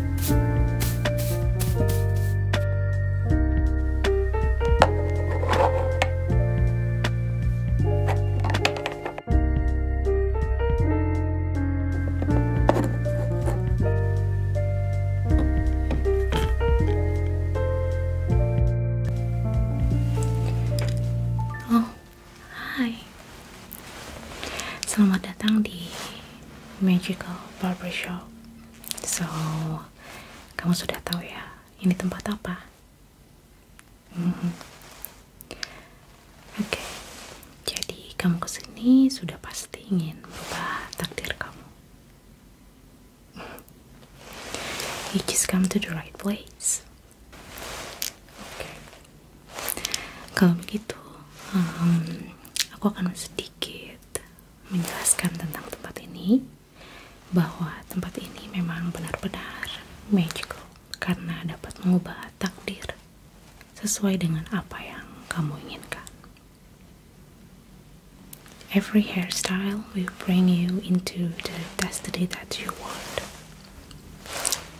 Oh, hi. Selamat datang di Magical Barber Shop. So, kamu sudah tahu ya, ini tempat apa? Mm -hmm. Oke, okay. jadi kamu kesini sudah pasti ingin berubah takdir kamu. You just come to the right place. Oke, kalau begitu, um, aku akan sedikit menjelaskan tentang tempat ini bahwa tempat ini memang benar-benar magical karena dapat mengubah takdir sesuai dengan apa yang kamu inginkan. Every hairstyle will bring you into the destiny that you want.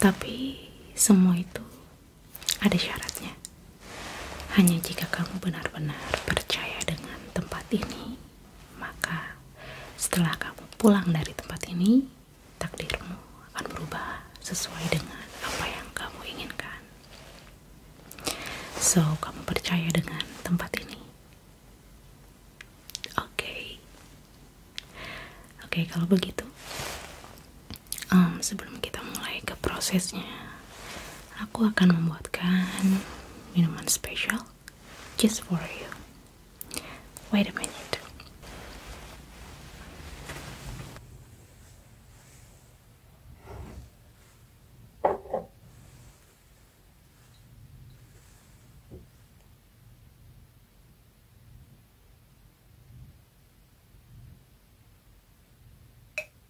Tapi semua itu ada syaratnya. Hanya jika kamu benar-benar percaya dengan tempat ini, maka setelah kamu pulang dari tempat ini, takdirmu akan berubah sesuai dengan apa yang kamu inginkan. So, kamu percaya dengan tempat ini. Oke. Okay. Oke, okay, kalau begitu um, sebelum kita mulai ke prosesnya, aku akan membuatkan minuman special just for you. Wait a minute.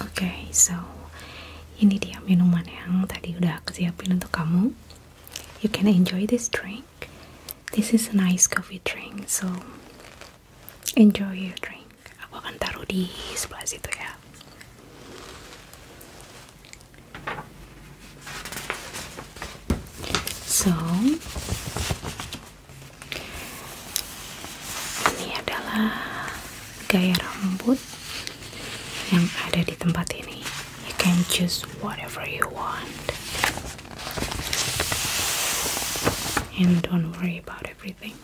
Oke, okay, so ini dia minuman yang tadi udah aku siapin untuk kamu. You can enjoy this drink. This is a nice coffee drink, so enjoy your drink. Aku akan taruh di sebelah situ ya. So, ini adalah gaya rambut yang ada di tempat ini you can choose whatever you want and don't worry about everything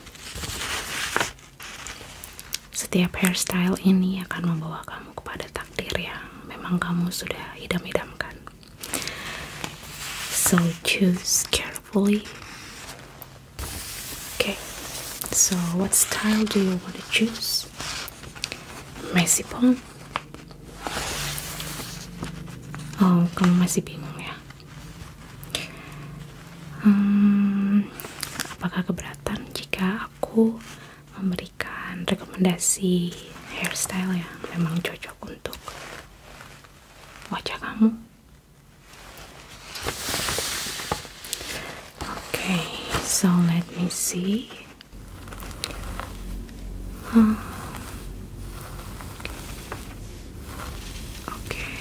setiap hairstyle ini akan membawa kamu kepada takdir yang memang kamu sudah idam-idamkan so choose carefully Okay, so what style do you want to choose? Messy pong. Oh, kamu masih bingung ya? Hmm, apakah keberatan jika aku memberikan rekomendasi hairstyle yang memang cocok untuk wajah kamu? Okay, so let me see. Huh. Okay.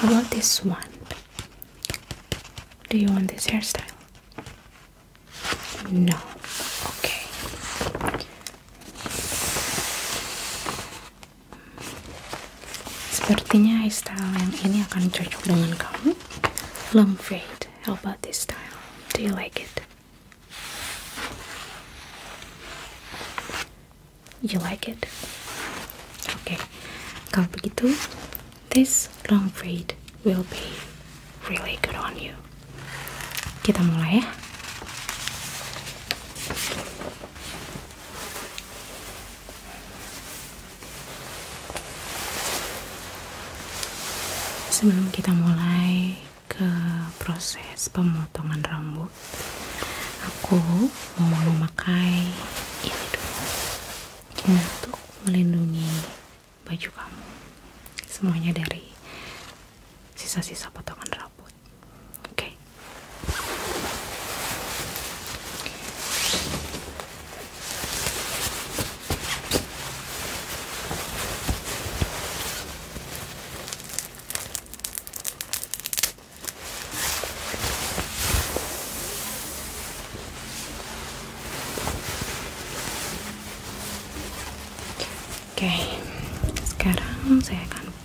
How about this one? Do you want this hairstyle? No. Okay. Sepertinya style yang ini akan cocok dengan kamu. Long fade. How about this style? Do you like it? You like it? Oke. Okay. Kalau begitu, this long fade will be really good on you. Kita mulai ya. Sebelum kita mulai ke proses pemotongan rambut, aku mau memakai ini dulu untuk melindungi baju kamu. Semuanya dari sisa-sisa potongan rambut. Oke. Okay. Oke, sekarang saya akan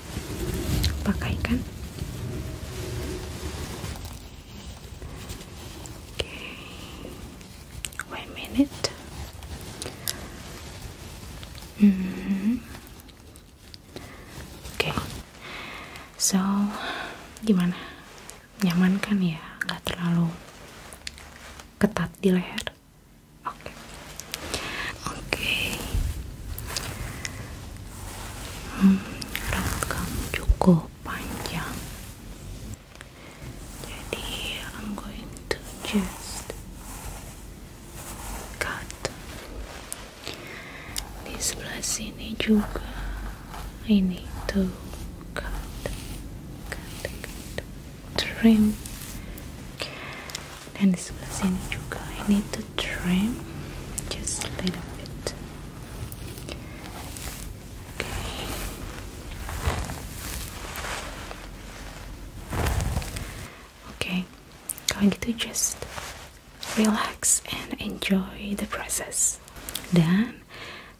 pakaikan oke okay. wait a minute -hmm. oke okay. so gimana nyaman kan ya Gak terlalu ketat di leher Oke. Oke. Okay. Hmm, rambut cukup panjang. Jadi, I'm going to just cut di sebelah sini juga. Ini tuh cut, cut, cut, trim dan di sebelah sini juga ini to trim just a little bit okay. Okay, kalau gitu just relax and enjoy the process dan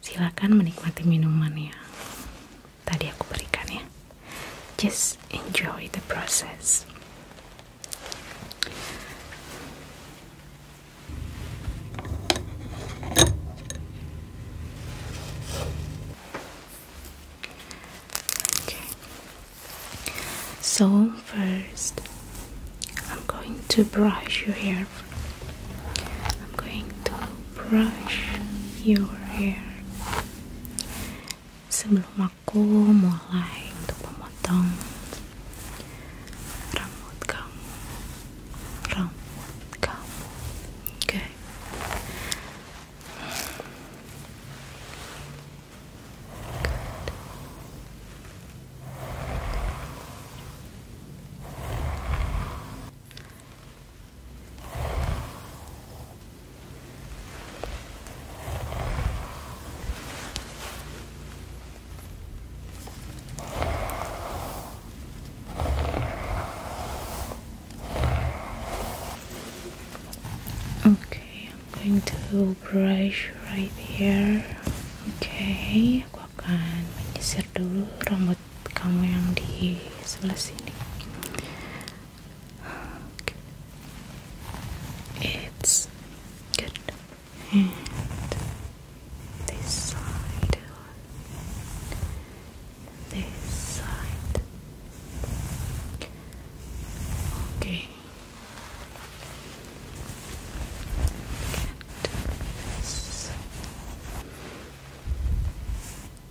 silakan menikmati minumannya tadi aku berikan ya just enjoy the process okay so first I'm going to brush your hair I'm going to brush your hair sebelum aku mulai untuk memotong rambut kamu rambut kamu oke Oke, aku akan menyisir dulu rambut kamu yang di sebelah sini. It's good. this side, this side. Okay. Get this.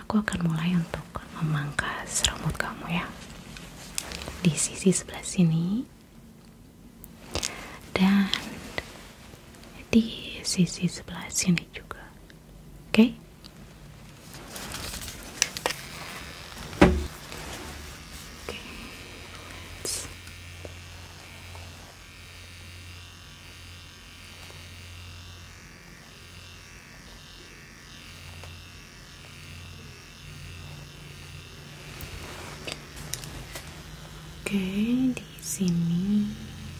aku akan mulai untuk memangkas rambut kamu ya di sisi sebelah sini dan di sisi sebelah sini juga oke okay? Oke, di sini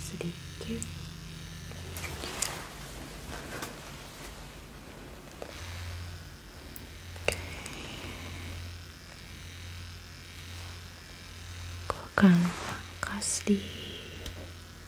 sedikit. Oke. Aku akan pangkas di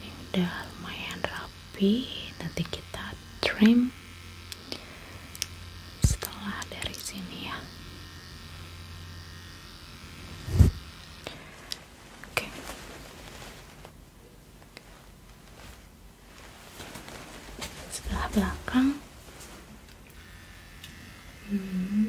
ini udah lumayan rapi nanti kita trim setelah dari sini ya oke setelah belakang hmm.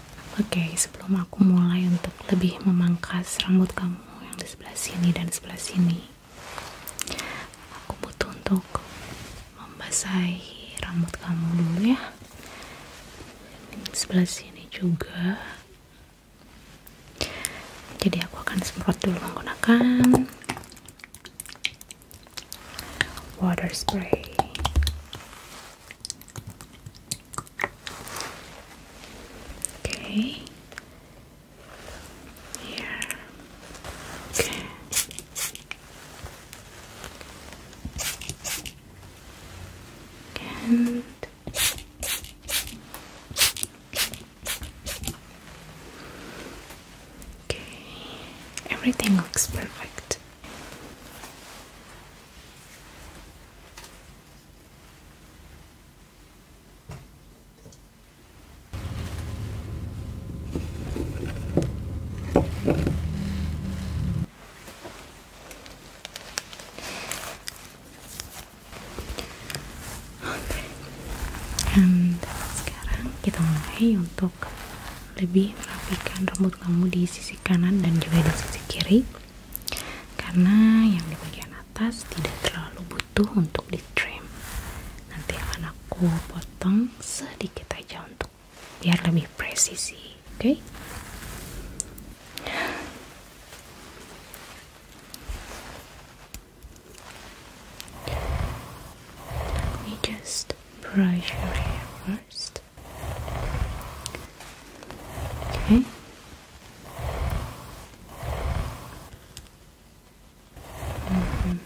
Oke, okay, sebelum aku mulai untuk lebih memangkas rambut kamu yang di sebelah sini dan sebelah sini, aku butuh untuk membasahi rambut kamu dulu ya. Di sebelah sini juga. Jadi aku akan semprot dulu menggunakan water spray. Okay. Here. Okay. And Okay. Everything looks perfect. dan sekarang kita mulai untuk lebih merapikan rambut kamu di sisi kanan dan juga di sisi kiri karena yang di bagian atas tidak terlalu butuh untuk di trim nanti akan aku potong sedikit aja untuk biar lebih presisi oke okay? let me just brush your hair first okay Mhm.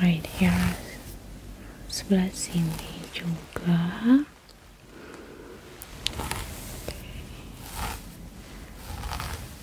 Right here, sebelah sini juga.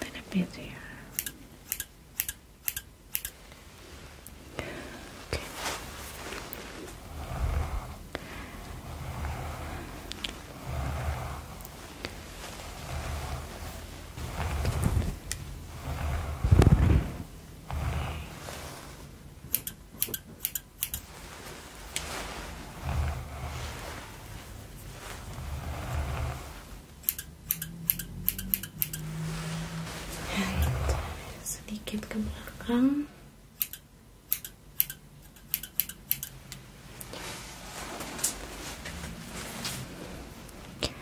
a little bit here. Okay. sedikit ke belakang Good.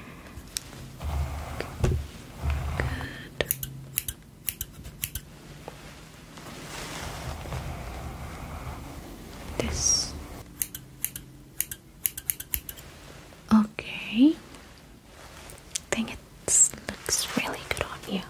This Okay. I think it looks really good on you.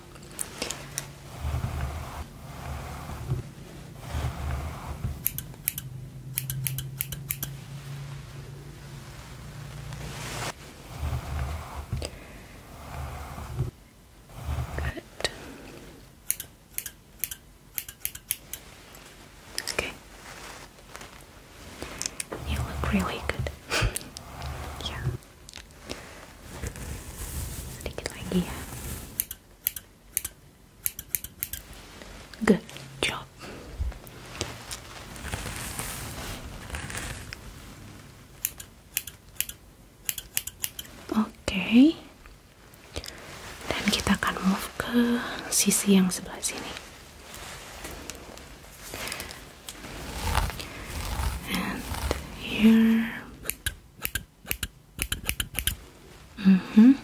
Good. Okay. You look really good. yeah. Stick it like here. Good job. Okay. dan kita akan move ke sisi yang sebelah sini and here mm-hmm.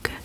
Good.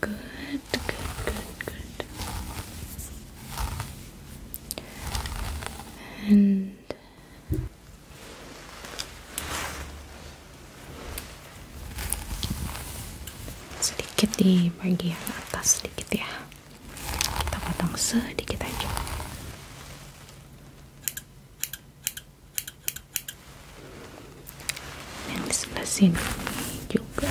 Good, good, good, good. And sedikit di bagian atas sedikit ya. Kita potong sedikit aja. Yang di sebelah sini juga.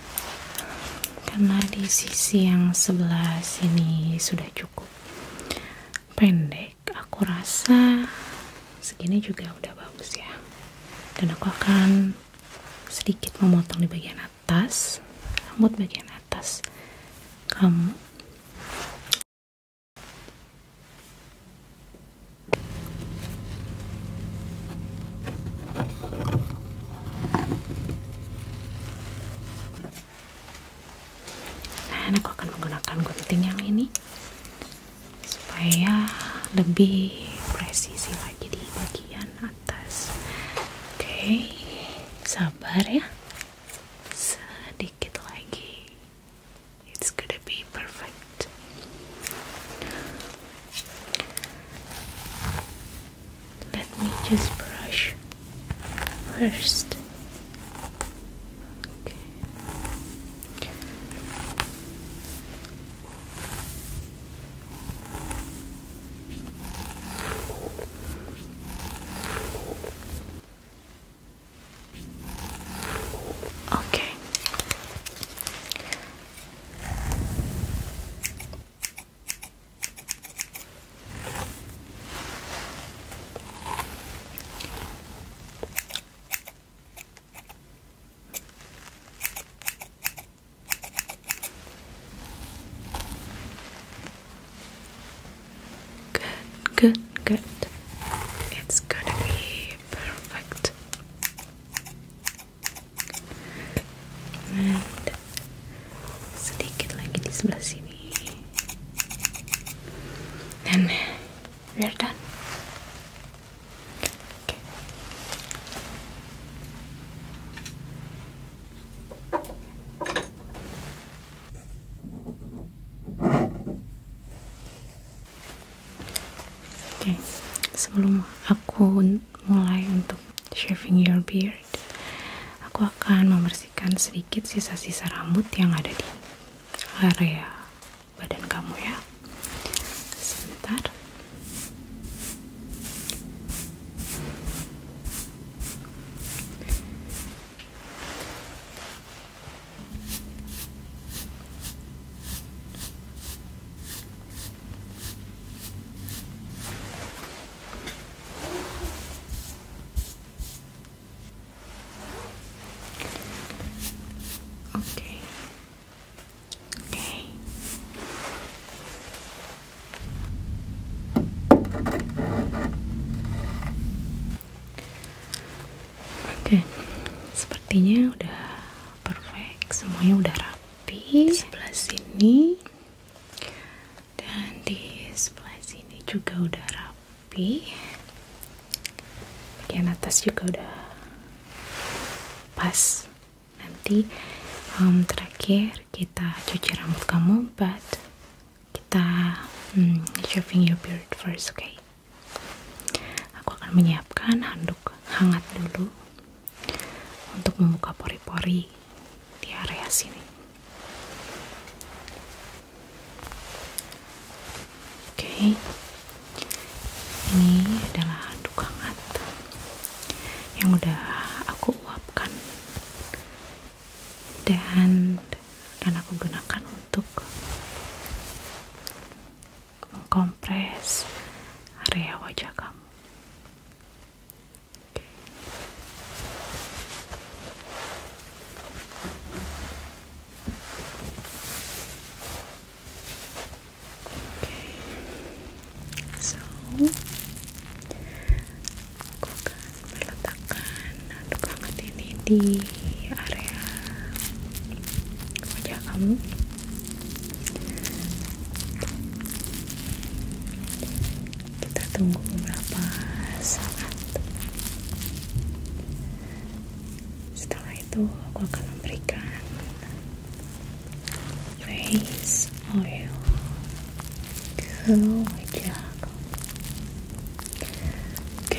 karena di sisi yang sebelah sini sudah cukup pendek aku rasa segini juga udah bagus ya dan aku akan sedikit memotong di bagian atas rambut bagian atas kamu Nah, aku akan menggunakan gunting yang ini supaya lebih presisi lagi di bagian atas. Oke, sabar ya. Sedikit lagi. It's gonna be perfect. Let me just brush first. Okay. Good, good, good. It's gonna be perfect. sedikit lagi di sebelah sini dan Oke, sebelum aku mulai untuk shaving your beard, Aku akan membersihkan sedikit sisa-sisa rambut yang ada di area badan kamu ya. Sebentar. Okay. Oke. Sepertinya udah perfect, semuanya udah rapi. Sebelah sini dan di sebelah sini juga udah rapi bagian atas juga udah pas nanti um, terakhir kita cuci rambut kamu but kita um, shaving your beard first oke okay? aku akan menyiapkan handuk hangat dulu untuk membuka pori-pori di area sini. Oke, okay. ini adalah duka hangat yang udah aku uapkan dan akan aku gunakan untuk mengkompres area wajah kamu. So, aku akan meletakkan aduk hangat ini di area wajah kamu kita tunggu beberapa saat setelah itu aku akan memberikan face oil ke wajah Oke,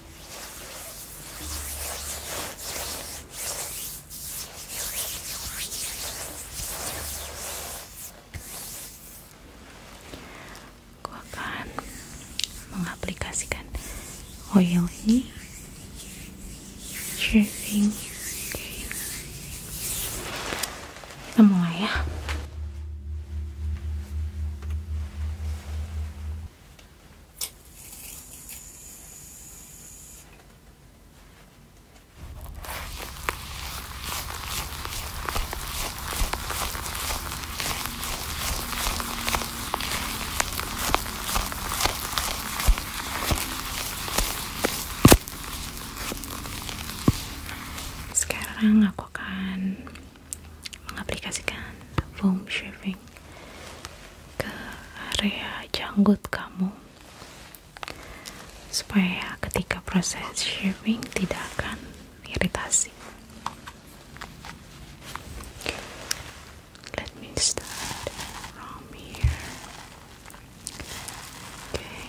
aku akan mengaplikasikan oil ini shaving kita ya sekarang aku akan mengaplikasikan foam shaving ke area janggut kamu supaya ketika proses shaving tidak akan iritasi let me start from here okay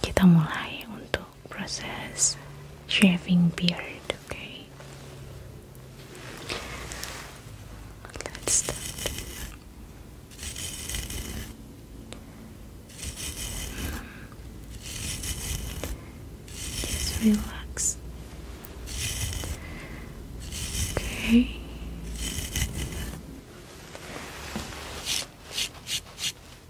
kita mulai untuk proses shaving beard, Let's start. Just relax.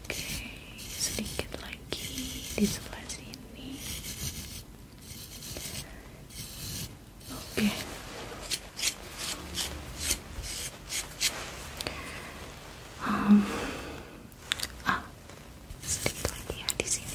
Oke, sedikit lagi di sebelah sini. Oke. Um, ah, sedikit lagi ya, di sini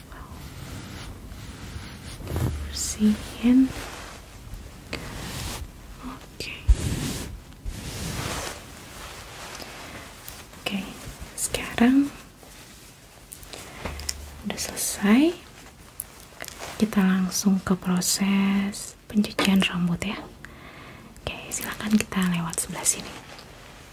well. Bersihin. Oke. Okay. okay, sekarang udah selesai. Kita langsung ke proses pencucian rambut ya. Oke, okay, silakan kita lewat sebelah sini.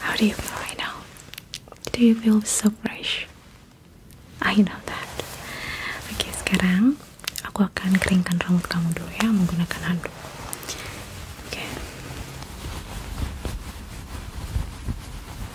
How do you feel right now? Do you feel so fresh? I know that. Oke, okay, sekarang aku akan keringkan rambut kamu dulu ya menggunakan handuk. Oke.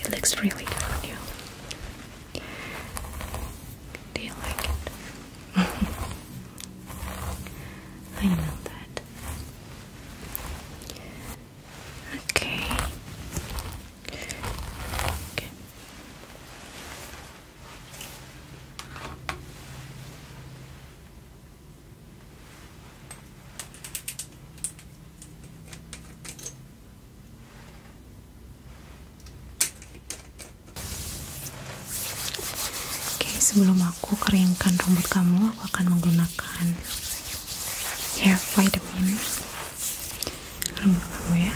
It looks really good on you. Do you like it? I know that. Okay. Okay. Oke, sebelum aku keringkan rambut kamu, aku akan menggunakan hair vitamin rambut kamu ya.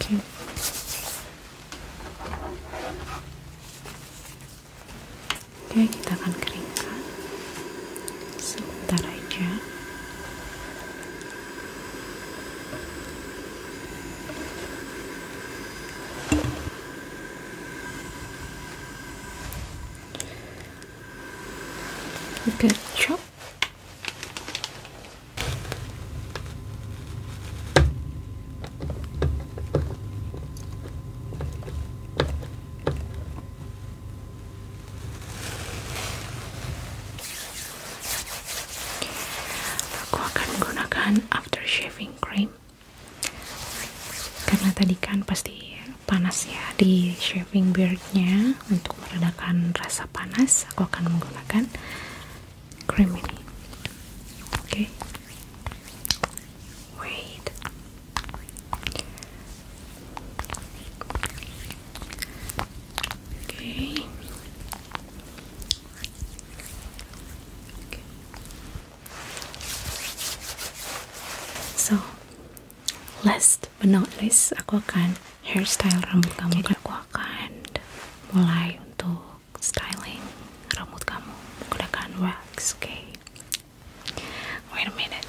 Oke, oke kita akan keringkan sebentar aja gacok aku akan menggunakan after shaving cream karena tadi kan pasti panas ya di shaving beardnya untuk meredakan rasa panas aku akan menggunakan Crimini. Okay. Wait. Okay. So, last but not least, ako kan hairstyle rambut kamu jadi aku akan mulai untuk styling rambut kamu menggunakan wax oke okay? wait a minute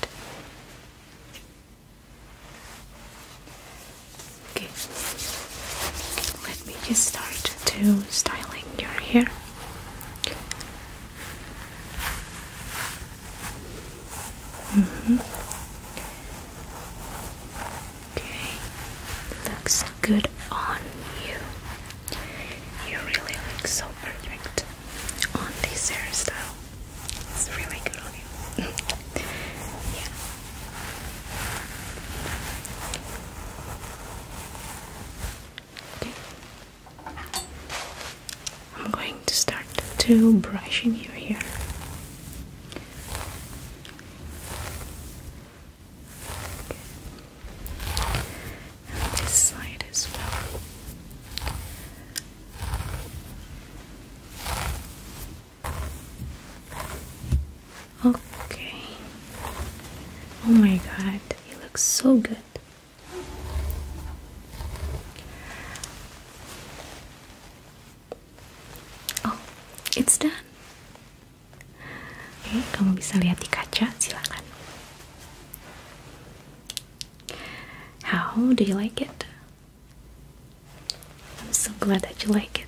okay let me just start to styling your hair Mm -hmm. Okay, looks good on you. You really look so perfect on this hairstyle. It's really good on you. yeah. Okay. I'm going to start to brushing your hair this side as well. Okay. Oh my god, it looks so good. Oh, it's done. Oke, kamu bisa lihat di kaca, silakan. How do you like it? I'm so glad that you like it.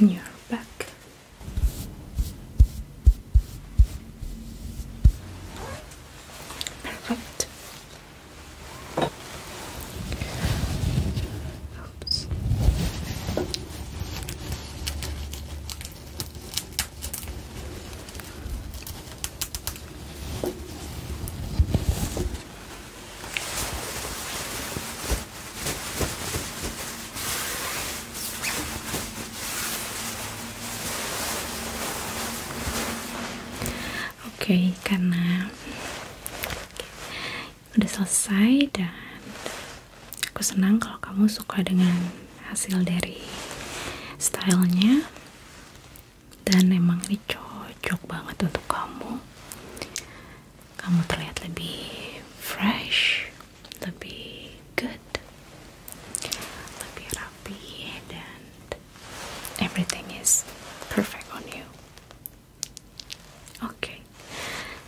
and you're back. Perfect. Oops. Oke, okay, karena udah selesai dan aku senang kalau kamu suka dengan hasil dari stylenya dan emang ini cocok banget untuk kamu kamu terlihat lebih fresh lebih good lebih rapi dan everything is perfect on you oke okay.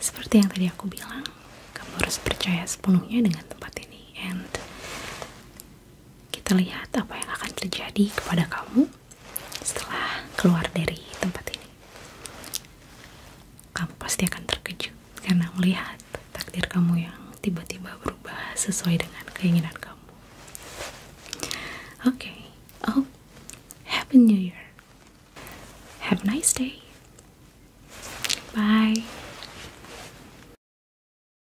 seperti yang tadi aku bilang kamu harus percaya sepenuhnya dengan tempat ini and kita lihat apa yang akan terjadi kepada kamu setelah keluar dari tempat ini. Kamu pasti akan terkejut karena melihat takdir kamu yang tiba-tiba berubah sesuai dengan keinginan kamu. Oke, okay. oh, Happy New Year. Have a nice day. Bye.